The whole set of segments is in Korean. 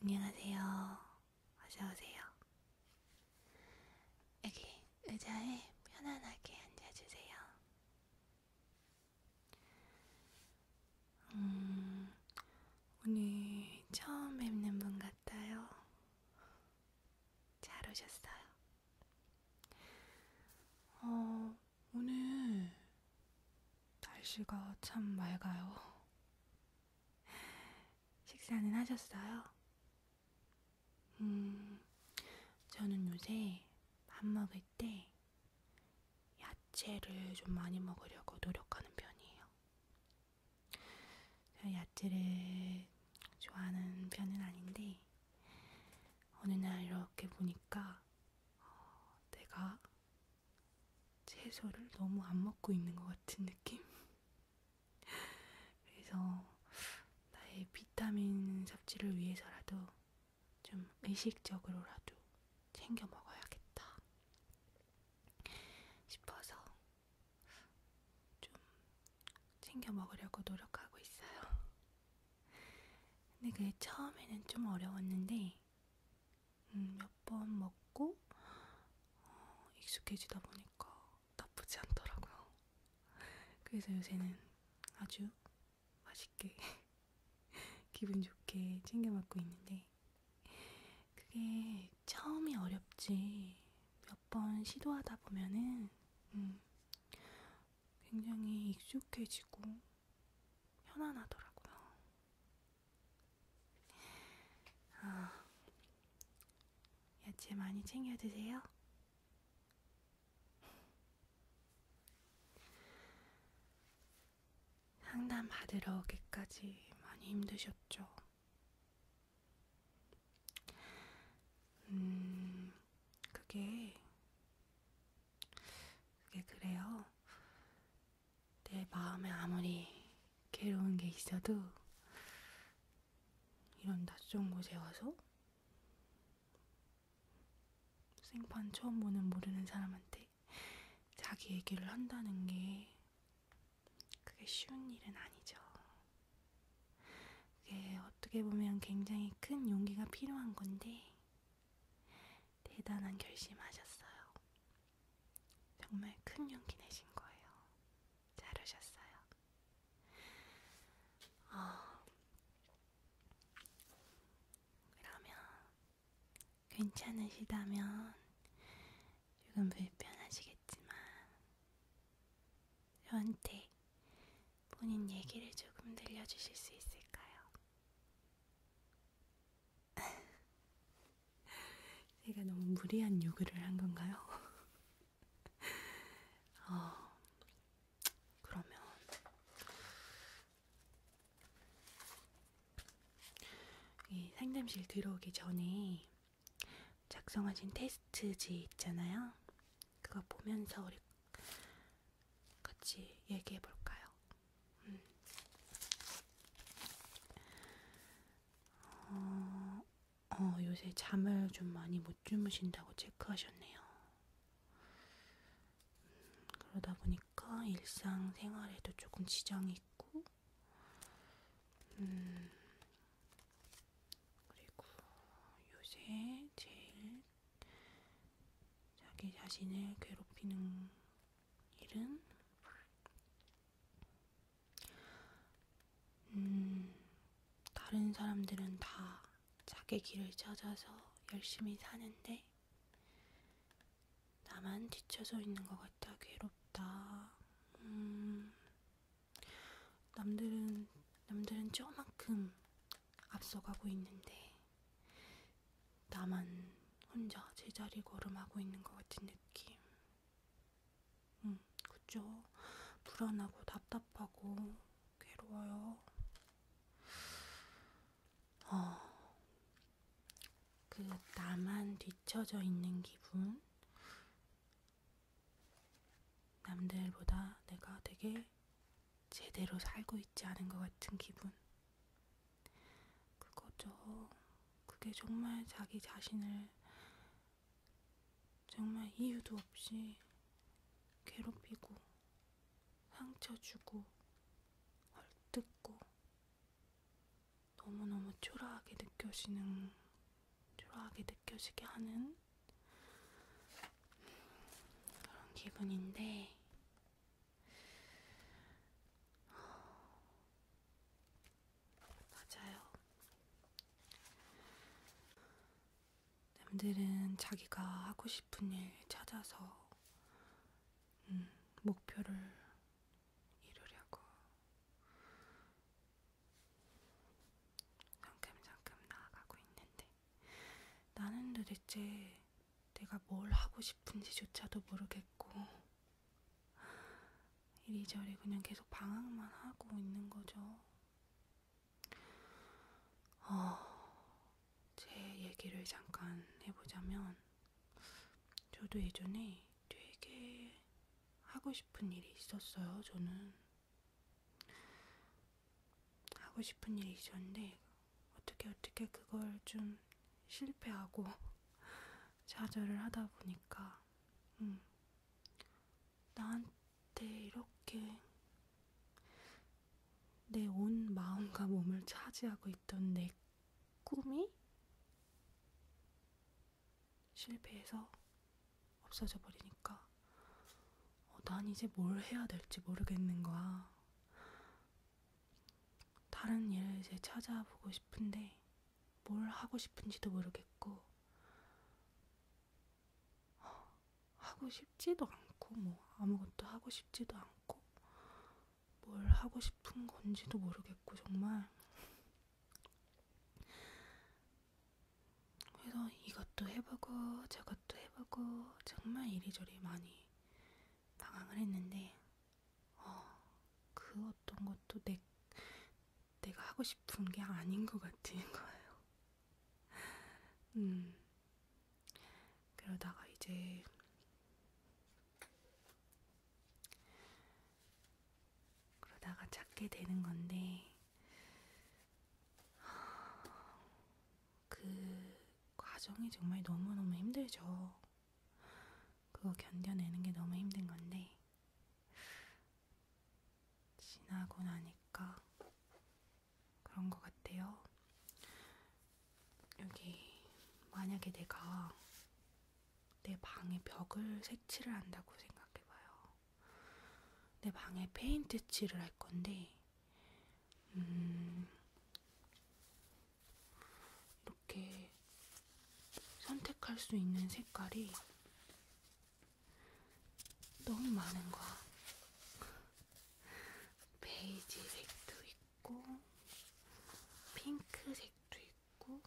안녕하세요. 어서오세요. 여기 의자에 편안하게 앉아주세요. 음, 오늘 처음 뵙는 분 같아요. 잘 오셨어요. 어, 오늘 날씨가 참 맑아요. 식사는 하셨어요? 음, 저는 요새 밥 먹을 때 야채를 좀 많이 먹으려고 노력하는 편이에요. 제가 야채를 좋아하는 편은 아닌데, 어느 날 이렇게 보니까 어, 내가 채소를 너무 안 먹고 있는 것 같은 느낌? 그래서 나의 비타민 섭취를 위해서라도 좀 의식적으로라도 챙겨 먹어야겠다 싶어서 좀 챙겨 먹으려고 노력하고 있어요. 근데 그게 처음에는 좀 어려웠는데 음, 몇번 먹고 어, 익숙해지다 보니까 나쁘지 않더라고요. 그래서 요새는 아주 맛있게 기분 좋게 챙겨 먹고 있는데 그게 처음이 어렵지 몇 번 시도하다 보면은 음, 굉장히 익숙해지고 편안하더라고요. 아, 야채 많이 챙겨 드세요. 상담 받으러 오기까지 많이 힘드셨죠? 음, 그게 그게 그래요. 내 마음에 아무리 괴로운 게 있어도 이런 낯선 곳에 와서 생판 처음 보는 모르는 사람한테 자기 얘기를 한다는 게 그게 쉬운 일은 아니죠. 그게 어떻게 보면 굉장히 큰 용기가 필요한 건데 대단한 결심하셨어요. 정말 큰 용기 내신 거예요. 잘하셨어요. 어, 그러면 괜찮으시다면 조금 불편하시겠지만 저한테 본인 얘기를 조금 들려주실 수 있을까요? 제가 너무 무리한 요구를 한 건가요? 어, 그러면 이 상담실 들어오기 전에 작성하신 테스트지 있잖아요. 그거 보면서 우리 같이 얘기해 볼까요? 음. 어, 어, 요새 잠을 좀 많이 못 주무신다고 체크하셨네요. 음, 그러다 보니까 일상생활에도 조금 지장이 있고, 음, 그리고 요새 제일 자기 자신을 괴롭히는 일은 음, 다른 사람들은 다 자기 길을 찾아서 열심히 사는데 나만 뒤쳐져 있는 것 같아 괴롭다. 음, 남들은 남들은 저만큼 앞서가고 있는데 나만 혼자 제자리 걸음하고 있는 것 같은 느낌. 음, 그죠? 불안하고 답답하고 괴로워요. 어, 그 나만 뒤쳐져 있는 기분. 남들보다 내가 되게 제대로 살고 있지 않은 것 같은 기분. 그거죠. 그게 정말 자기 자신을 정말 이유도 없이 괴롭히고 상처 주고 헐뜯고 너무너무 초라하게 느껴지는 초라하게 느껴지게 하는 그런 기분인데 맞아요. 남들은 자기가 하고 싶은 일 찾아서 음, 목표를 이루려고 상큼상큼 나아가고 있는데 나는 도대체 내가 뭘 하고 싶은지조차도 모르겠고, 이리저리 그냥 계속 방황만 하고 있는 거죠. 어, 제 얘기를 잠깐 해보자면, 저도 예전에 되게 하고 싶은 일이 있었어요, 저는. 하고 싶은 일이 있었는데, 어떻게 어떻게 그걸 좀 실패하고 좌절을 하다 보니까 음, 나한테 이렇게 내 온 마음과 몸을 차지하고 있던 내 꿈이 실패해서 없어져 버리니까 어, 난 이제 뭘 해야 될지 모르겠는 거야. 다른 일을 이제 찾아보고 싶은데 뭘 하고 싶은지도 모르겠고 어, 하고 싶지도 않고 뭐 아무것도 하고 싶지도 않고 뭘 하고 싶은 건지도 모르겠고 정말 그래서 이것도 해보고 저것도 해보고 정말 이리저리 많이 방황을 했는데 어, 그 어떤 것도 내, 내가 하고 싶은 게 아닌 것 같은 거예요. 음, 그러다가 이제 그러다가 찾게 되는 건데 그 과정이 정말 너무너무 힘들죠. 그거 견뎌내는 게 너무 힘든 건데, 지나고 나니까 그런 것 같아요. 여기, 만약에 내가 내 방에 벽을 색칠을 한다고 생각해봐요. 내 방에 페인트 칠을 할 건데, 음, 이렇게 선택할 수 있는 색깔이 너무 많은 거야. 베이지색도 있고, 핑크색도 있고,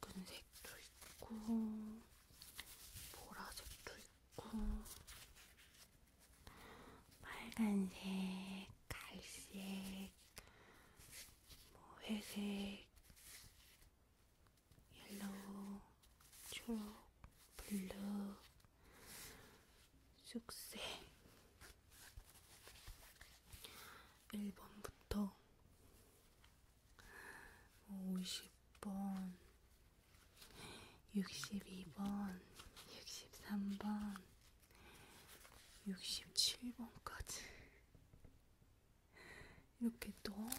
붉은색도 있고 보라색도 있고 빨간색, 갈색, 뭐 회색, 옐로우, 초록, 블루, 쑥색 1번부터 50번, 62번, 63번, 67번까지 이렇게 너무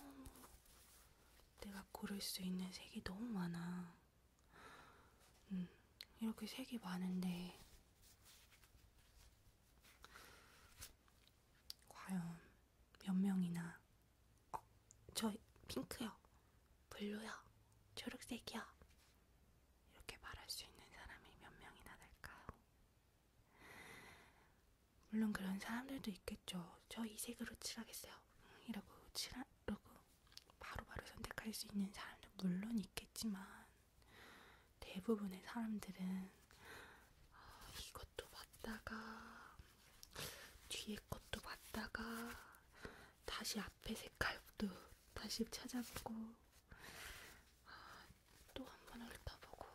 내가 고를 수 있는 색이 너무 많아. 음, 이렇게 색이 많은데 과연 몇 명이나 어, 저 핑크요, 블루요, 초록색이요 이렇게 말할 수 있는 사람이 몇 명이나 될까요? 물론 그런 사람들도 있겠죠. 저 이 색으로 칠하겠어요. 음, 이라고 칠하라고 바로바로 선택할 수 있는 사람도 물론 있겠지만 대부분의 사람들은 아, 이것도 봤다가 뒤에 것도 봤다가 다시 앞에 색깔도 다시 찾아보고 아, 또한번 훑어보고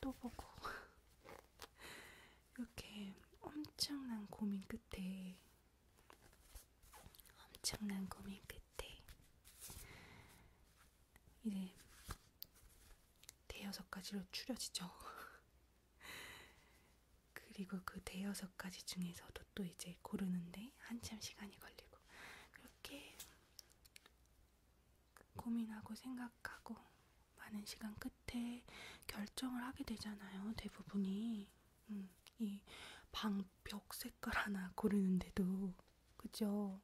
또 보고 이렇게 엄청난 고민 끝에 엄청난 고민 끝에 이제 대여섯 가지로 추려지죠. 그리고 그 대여섯 가지 중에서도 또 이제 고르는데 한참 시간이 걸리고 그렇게 고민하고 생각하고 많은 시간 끝에 결정을 하게 되잖아요. 대부분이 음, 이 방 벽 색깔 하나 고르는데도 그죠?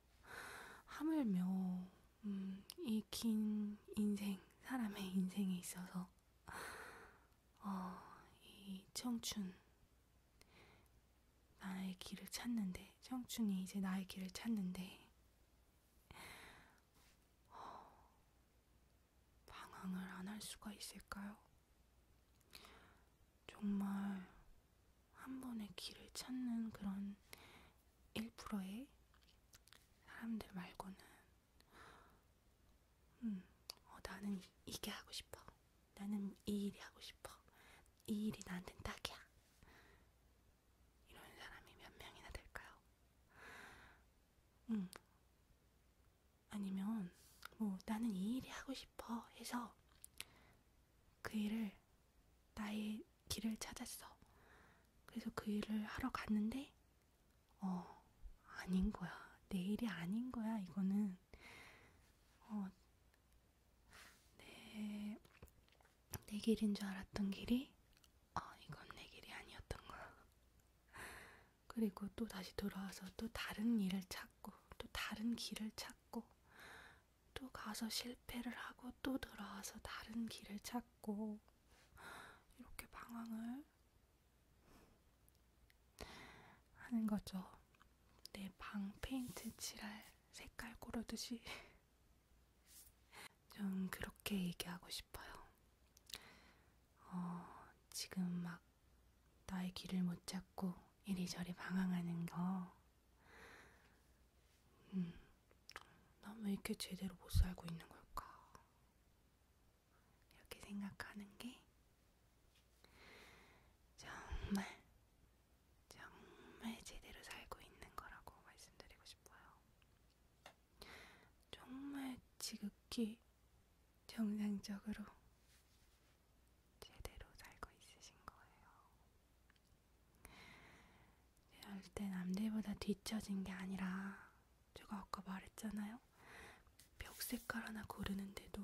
하물며 음, 이긴 인생, 사람의 인생에 있어서, 어, 이 청춘, 나의 길을 찾는데, 청춘이 이제 나의 길을 찾는데, 어, 방황을 안 할 수가 있을까요? 정말 한 번의 길을 찾는 그런 1%의 사람들 말고는 음, 어, 나는 이게 하고 싶어. 나는 이 일이 하고 싶어. 이 일이 나한텐 딱이야. 이런 사람이 몇 명이나 될까요? 음. 아니면 뭐 나는 이 일이 하고 싶어 해서 그 일을 나의 길을 찾았어. 그래서 그 일을 하러 갔는데, 어, 아닌 거야. 내 일이 아닌 거야, 이거는. 어, 내, 내 길인 줄 알았던 길이, 어, 이건 내 길이 아니었던 거야. 그리고 또 다시 돌아와서 또 다른 일을 찾고, 또 다른 길을 찾고, 또 가서 실패를 하고 또 돌아와서 다른 길을 찾고 이렇게 방황을 하는 거죠. 내 방 페인트 칠할 색깔 고르듯이 좀 그렇게 얘기하고 싶어요. 어, 지금 막 나의 길을 못 찾고 이리저리 방황하는 거. 음. 난왜 이렇게 제대로 못 살고 있는 걸까? 이렇게 생각하는 게 정말, 정말 제대로 살고 있는 거라고 말씀드리고 싶어요. 정말 지극히 정상적으로 제대로 살고 있으신 거예요. 절대 남들보다 뒤처진 게 아니라 제가 아까 말했잖아요. 벽 색깔 하나 고르는데도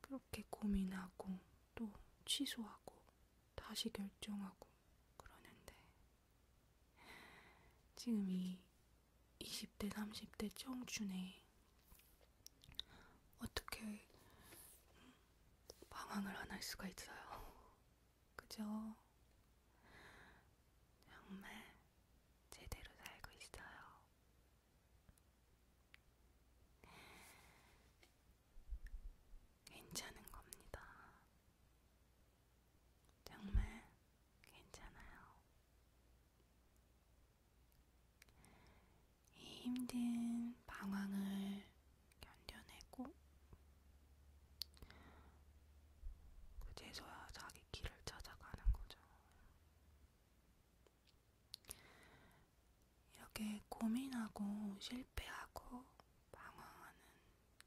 그렇게 고민하고 또 취소하고 다시 결정하고 그러는데 지금 이 20대, 30대 청춘에 어떻게 방황을 안 할 수가 있어요. 그죠? 정말 제대로 살고 있어요. 괜찮은 겁니다. 정말 괜찮아요. 이 힘든 방황을 견뎌내고 그제서야 자기 길을 찾아가는 거죠. 이렇게 고민하고 실패하고 방황하는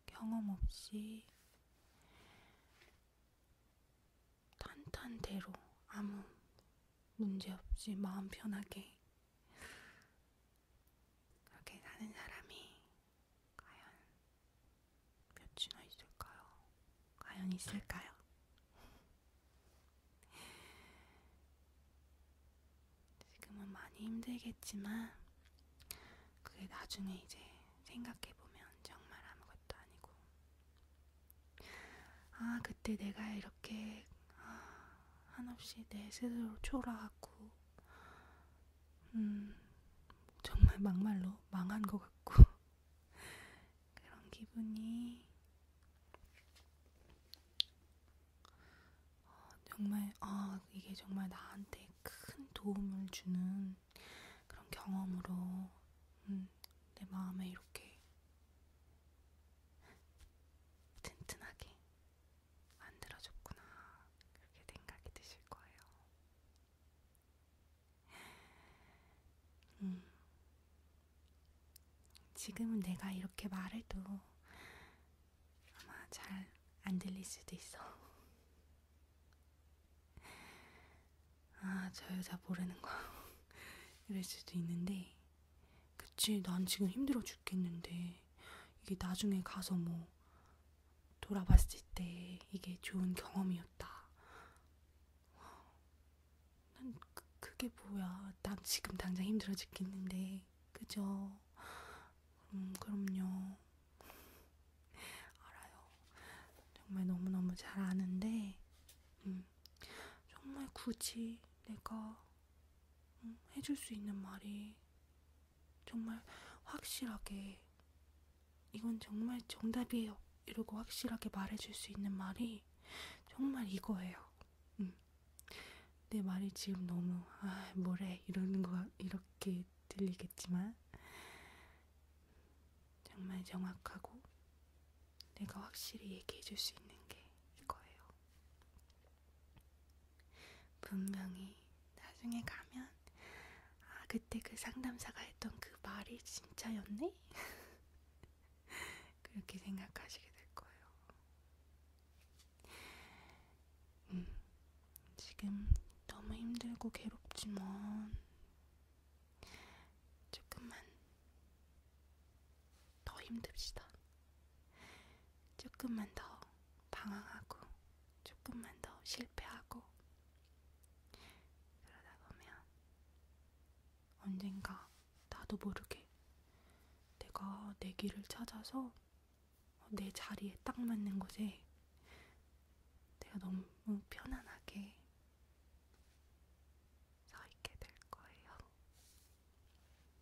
경험 없이 탄탄대로 아무 문제 없이 마음 편하게 그렇게 사는 사람이 과연 몇이나 있을까요? 과연 있을까요? 지금은 많이 힘들겠지만 그게 나중에 이제 생각해보면 정말 아무것도 아니고 아 그때 내가 이런 이렇게 한없이 내 스스로 초라하고 음, 정말 막말로 망한 것 같고 그런 기분이 어, 정말 아 이게 정말 나한테 큰 도움을 주는 그런 경험으로 음, 내 마음에 이렇게 튼튼하게 만들어줬구나. 그렇게 생각이 드실 거예요. 음. 지금은 내가 이렇게 말해도 아마 잘 안 들릴 수도 있어. 아, 저 여자 모르는 거. 이럴 수도 있는데, 그치, 난 지금 힘들어 죽겠는데, 이게 나중에 가서 뭐, 돌아봤을 때 이게 좋은 경험이었다. 난 그, 그게 뭐야. 난 지금 당장 힘들어 죽겠는데, 그죠? 음, 그럼요. 알아요. 정말 너무너무 잘 아는데, 음, 정말 굳이 내가 해줄 수 있는 말이 정말 확실하게 이건 정말 정답이에요. 이러고 확실하게 말해줄 수 있는 말이 정말 이거예요. 음. 내 말이 지금 너무 아 뭐래 이러는 거 이렇게 들리겠지만 정말 정확하고 내가 확실히 얘기해줄 수 있는 게 이거예요. 분명히 나중에 가면 아 그때 그 상담사가 했던 그 말이 진짜였네? 그렇게 생각하시게 될 거예요. 음, 지금 너무 힘들고 괴롭지만 조금만 더 힘듭시다. 조금만 더 방황하고, 조금만 더 실패하고, 그러다 보면 언젠가 나도 모르게 내가 내 길을 찾아서 내 자리에 딱 맞는 곳에 내가 너무 편안하게 서 있게 될 거예요.